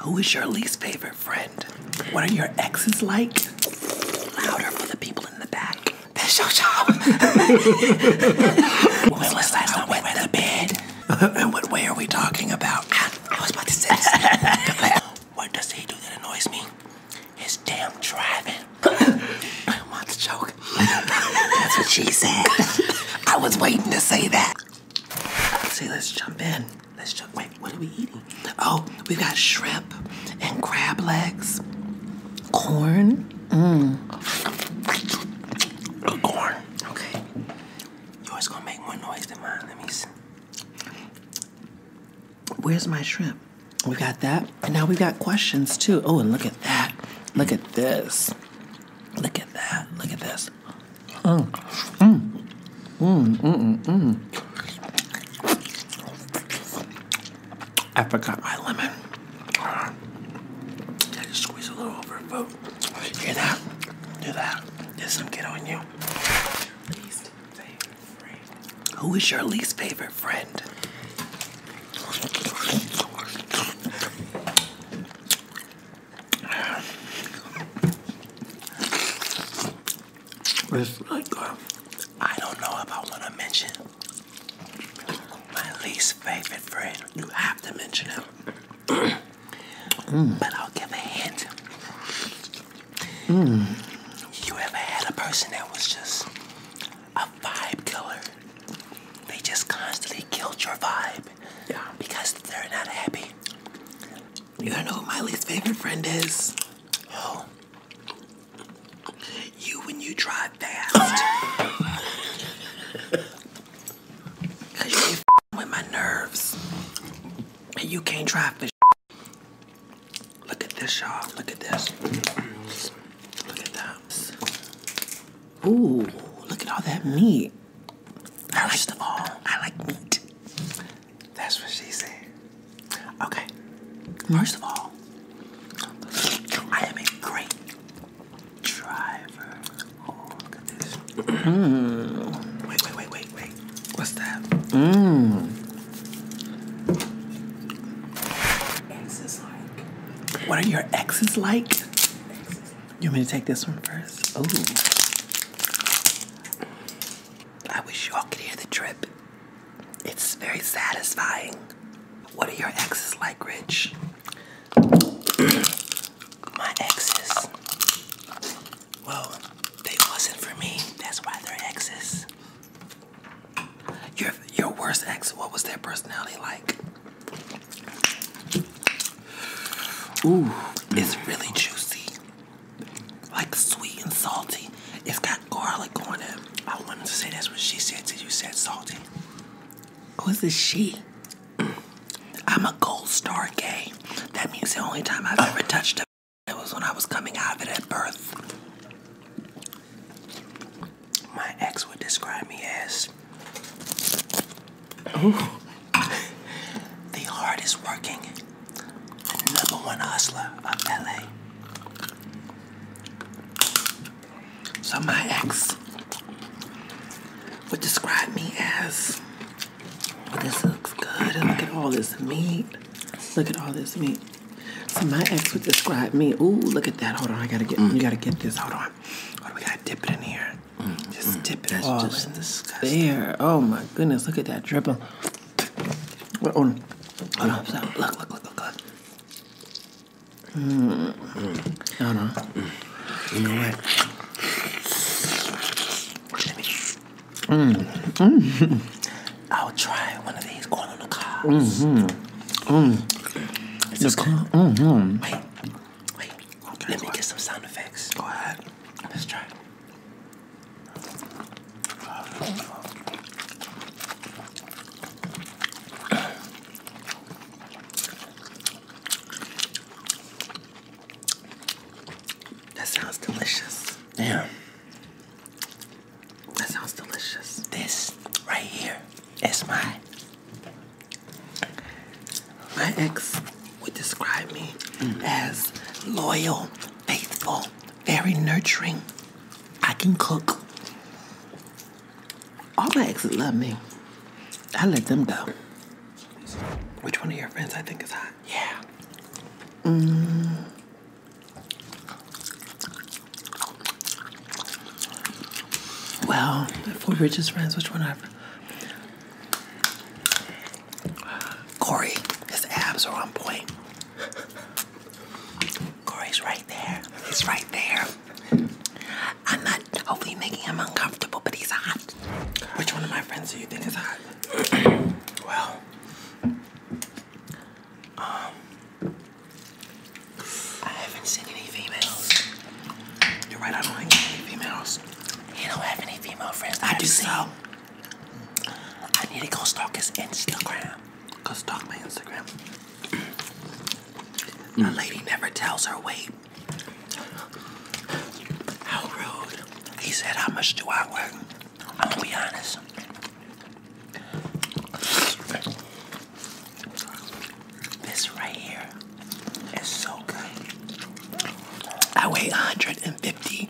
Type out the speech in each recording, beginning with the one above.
Who is your least favorite friend? What are your exes like? Louder for the people in the back. That's your job. when was last time we went to bed? and what way are we talking about? I, was about to say what does he do that annoys me? His damn driving. I want to choke. That's what she said. I was waiting to say that. See, let's jump in. Let's jump. Wait, what are we eating? Oh, we got shrimp and crab legs, corn. Mmm. Corn. Okay. Yours gonna make more noise than mine. Let me see. Where's my shrimp? We got that. And now we got questions too. Oh, and look at that. Look at this. Look at that. Look at this. Mm. Mm. Mm, mm, mm, I forgot my lemon. I just squeeze a little over food. Hear that? Do that. There's some get on you. Who is your least favorite friend? It's uh, I don't know if I want to mention my least favorite friend. You have to mention him. Mm. But I'll give a hint. Mm. You ever had a person that was just a vibe killer? They just constantly killed your vibe. Yeah. Because they're not happy. You gotta know who my least favorite friend is? Oh. You when you drive fast. Cause you be with my nerves. And you can't drive for Look at this, y'all. Look at this. Look at that. Ooh, look at all that meat. First of all, I like meat. That's what she said. Okay. First of all, I am a great driver. Mm. Wait, wait, wait, wait, wait. What's that? Mmm. What are your exes like? Exes. You want me to take this one first? Oh. I wish you all could hear the drip. It's very satisfying. What are your exes like, Rich? My exes. Well, they wasn't for me. That's why they're exes. Your your worst ex, what was their personality like? Ooh, it's really juicy like sweet and salty. It's got garlic on it. I wanted to say that's what she said till you said salty. Who is this she? I'm a gold star gay. That means the only time I've ever touched it was when I was coming out of it at birth. My ex would describe me as Oh. The hardest working number one hustler of LA. So my ex would describe me as this looks good. Look at all this meat. Look at all this meat. So my ex would describe me. Ooh, look at that. Hold on, I gotta get. Mm. You gotta get this. Hold on. What do we gotta dip it in here? just mm, it all oh, just in there. Oh my goodness! Look at that dripping. Wait, hold Look! Look! Look! Look! Look! I don't know. You know what? Hmm. I'll try one of these corn on the cob. Mm-hmm. Mm. Is this the corn? Mm-hmm. Wait, wait. Okay, Let me what? get some sound effects. Go ahead. Let's try. It. That sounds delicious. Yeah. That sounds delicious. This right here is my my ex would describe me mm. as loyal, faithful, very nurturing. I can cook. All my exes love me. I let them go. Which one of your friends I think is hot? Yeah. Mm. Well, for Rich's friends, which one I? Corey, his abs are on point. Corey's right there. He's right there. I'm not hopefully making him uncomfortable, but he's hot. Which one of my friends do you think is hot? well, um, I haven't seen any females. You're right, I don't like any females. You don't have any female friends. I do so. I need to go stalk his Instagram. Go stalk my Instagram. My mm. lady never tells her weight. How rude. He said, How much do I weigh? I'm gonna be honest. This right here is so good. I weigh 150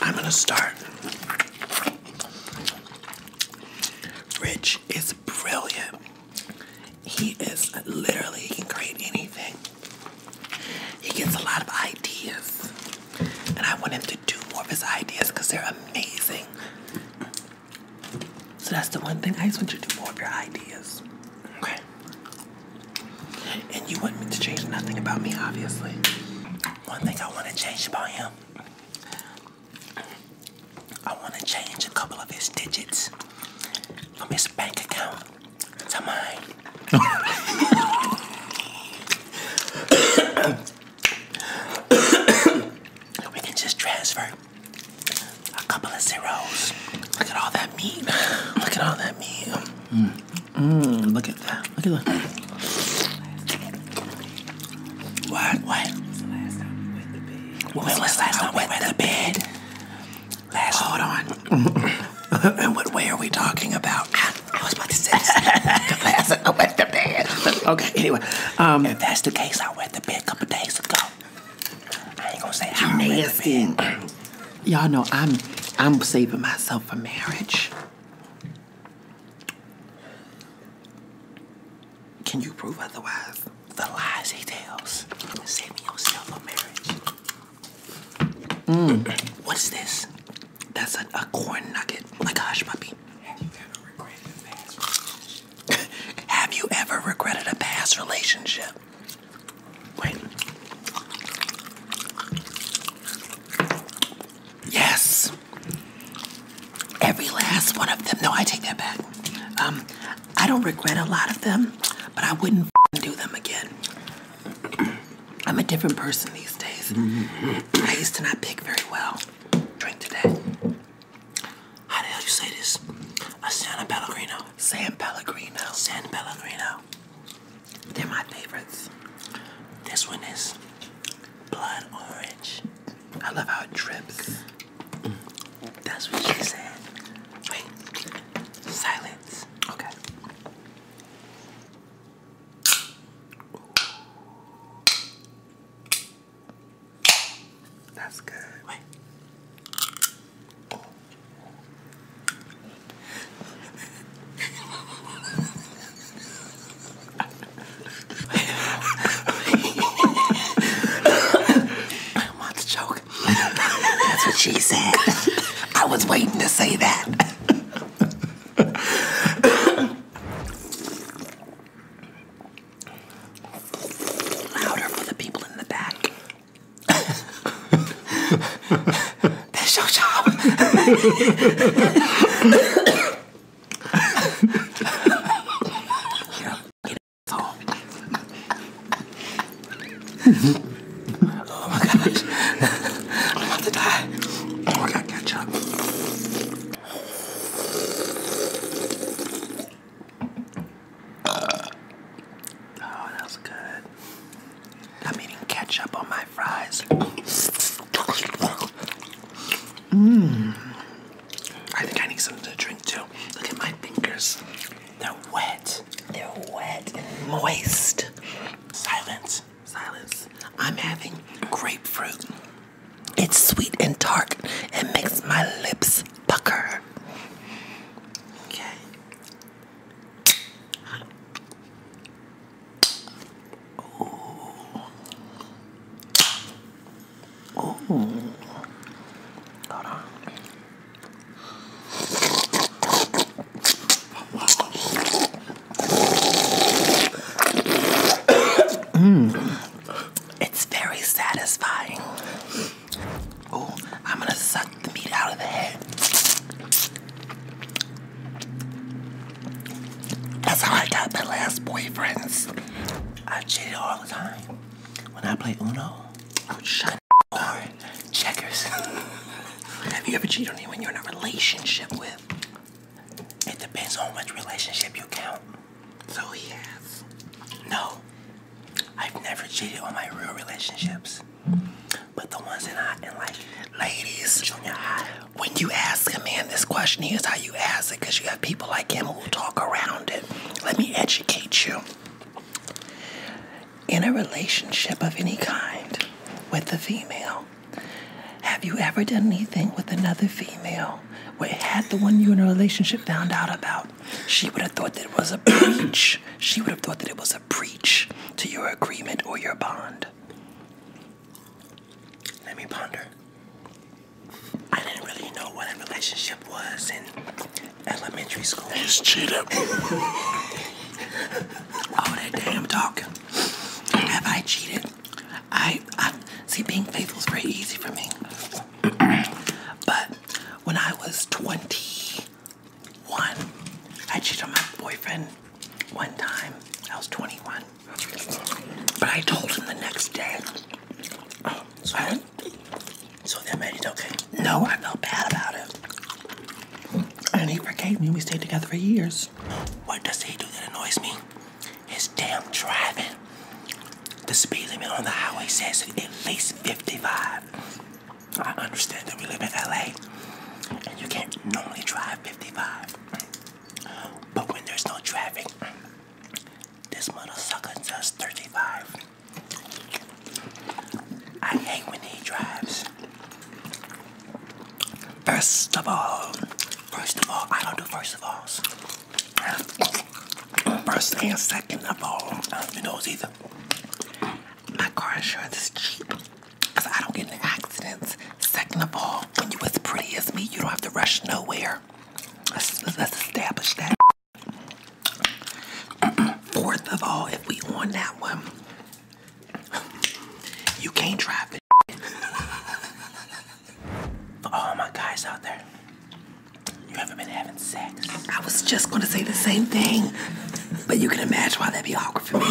I'm going to start. Rich is brilliant. He is literally, he can create anything. He gets a lot of ideas. And I want him to do more of his ideas because they're amazing. So that's the one thing I just want you to do more of your ideas. Okay. And you want me to change nothing about me, obviously. One thing I want to change about him, I want to change a couple of his digits from his bank account to mine. we can just transfer a couple of zeros. Look at all that meat. Look at all that meat. Mmm, look at that. Look at that. What? What? What was last time I went to bed? Last Hold on. and what way are we talking about? I, was about to say this. the last time I went to bed. Okay, anyway. Um, if that's the case, I went to bed a couple days ago. I ain't gonna say how nasty. Y'all know I'm I'm saving myself for marriage. Can you prove otherwise? The lies he tells, saving yourself a marriage. Mm. What is this? That's a, corn nugget, like a hush puppy. Have you ever regretted a past relationship? Have you ever regretted a past relationship? Wait. Yes. Every last one of them. No, I take that back. Um, I don't regret a lot of them, but I wouldn't do them again. I'm a different person these days. I used to not pick very well. Drink to that. How the hell you say this? I A Pellegrino. San Pellegrino. San Pellegrino. They're my favorites. This one is blood orange. I love how it drips. Mm. That's what she said. Wait, silence. Okay. That's good. Wait. What's the joke? That's what she said. I was waiting to say that. Louder for the people in the back that's your job. get up, get up, oh my gosh. I'm about to die. I gotta oh, that good. I'm eating ketchup on my fries. Mmm. I think I need something to drink too. Look at my fingers. They're wet. They're wet and moist. Silence. Silence. I'm having grapefruit. It's sweet and tart and makes my lips pucker. Okay. Oh. Oh. Hold on. It's very satisfying. Oh, I'm gonna suck the meat out of the head. That's how I got my last boyfriends. I cheated all the time. When I played Uno, I would shut or checkers. Have you ever cheated on anyone you're in a relationship with? It depends on which relationship you count. So he has. No. I've never cheated on my real relationships. But the ones that I in like ladies, junior high, when you ask a man this question, here's how you ask it because you have people like him who talk around it. Let me educate you. In a relationship of any kind with a female, have you ever done anything with another female where had the one you in a relationship found out about, she would have thought that it was a breach. She would have thought that it was a breach to your agreement or your bond. Let me ponder. I didn't really know what a relationship was in elementary school. It's cheated. oh, that damn talk. Have I cheated? I, I see being faithful is very easy for me. but when I was 21, I cheated on my boyfriend one time. I was 21. But I told him the next day. so, they made it okay? No, I felt bad about it. And he forgave me. We stayed together for years. What does he do that annoys me? His damn driving. The speed limit on the highway says at least 55. I understand that we live in LA and you can't normally drive 55. But when there's no traffic, this mother sucker does 35. I hate when he drives. First of all, first of all, I don't do first of alls. First and second of all, I don't do those either. My car is sure is cheap because I don't get into accidents. Second of all, when you as pretty as me, you don't have to rush nowhere. Let's, establish that. Fourth of all, if we on that one, you can't drive it. For all my guys out there, you have been having sex. I was just gonna say the same thing, but you can imagine why that'd be awkward talk for me.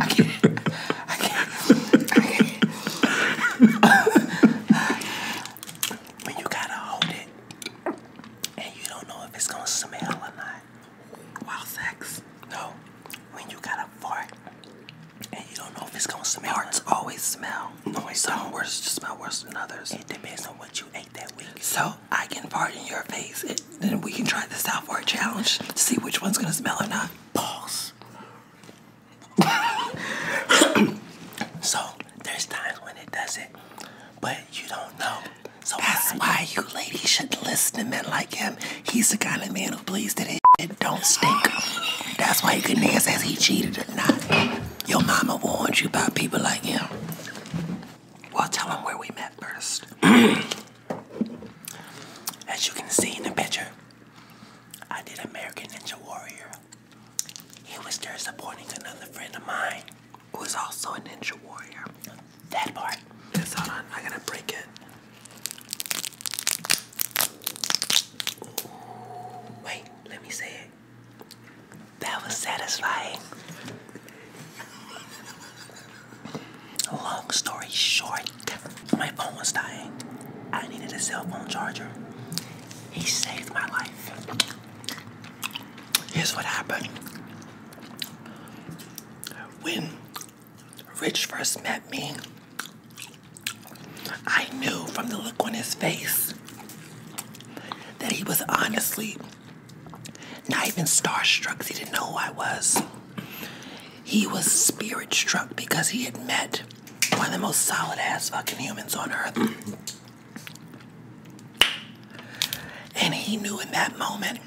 I can't. I can't. I can't. when you gotta hold it and you don't know if it's gonna smell or not. Wild sex. No. When you gotta fart and you don't know if it's gonna smell. Parts like. always smell. No, it's Some don't. worse smell worse than others. It depends on what you ate that week. So I can fart your face, and then we can try this out for a challenge to see which one's gonna smell or not. Pause. so there's times when it does it, but you don't know. So that's why you ladies should listen to men like him. He's the kind of man who believes that his don't stink. That's why he couldn't answer if he cheated or not. Your mama warned you about people like him. Well, tell him where we met first. As you can see in the picture, I did American Ninja Warrior. He was there supporting another friend of mine who was also a Ninja Warrior. That part. Yes, hold on. I gotta break it. wait. Let me say it. That was satisfying. Long story short, my phone was dying. I needed a cell phone charger. He saved my life. Here's what happened. When Rich first met me, I knew from the look on his face that he was honestly not even starstruck. He didn't know who I was. He was spirit struck because he had met one of the most solid ass fucking humans on earth. And he knew in that moment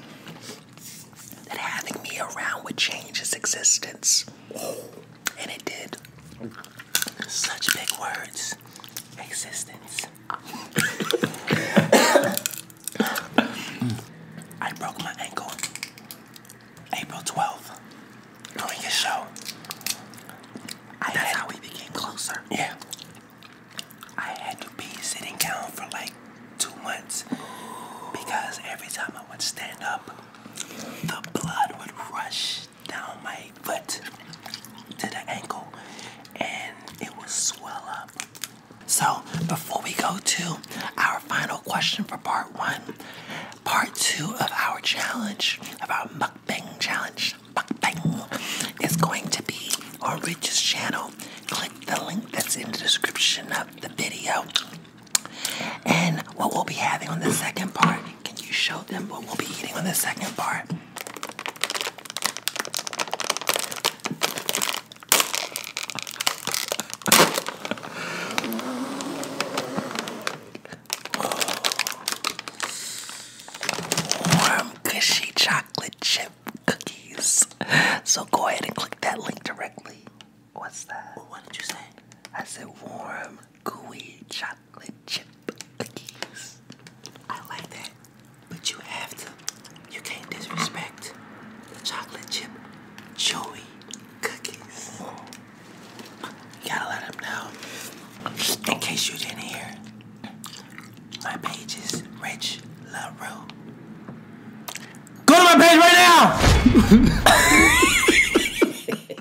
that having me around would change his existence and it did. Such big words. Existence. I broke my ankle April 12th during a show. That's how we became closer. Yeah. I had to be sitting down for like two months because every time I would stand up, the blood would rush down my foot to the ankle and it will swell up. So, before we go to our final question for part one, part two of our challenge, of our mukbang challenge, mukbang, is going to be on Rich's channel. Click the link that's in the description of the video. And what we'll be having on the second part can you show them what we'll be eating on the second part? Warm, cushy chocolate chip cookies. So go ahead and click that link directly. What's that? What did you say? I said warm, gooey chocolate chocolate chip cookies. I like that, but you have to. You can't disrespect the chocolate chip chewy cookies. gotta let them know. In case you didn't hear, my page is Rich LaRue. Go to my page right now!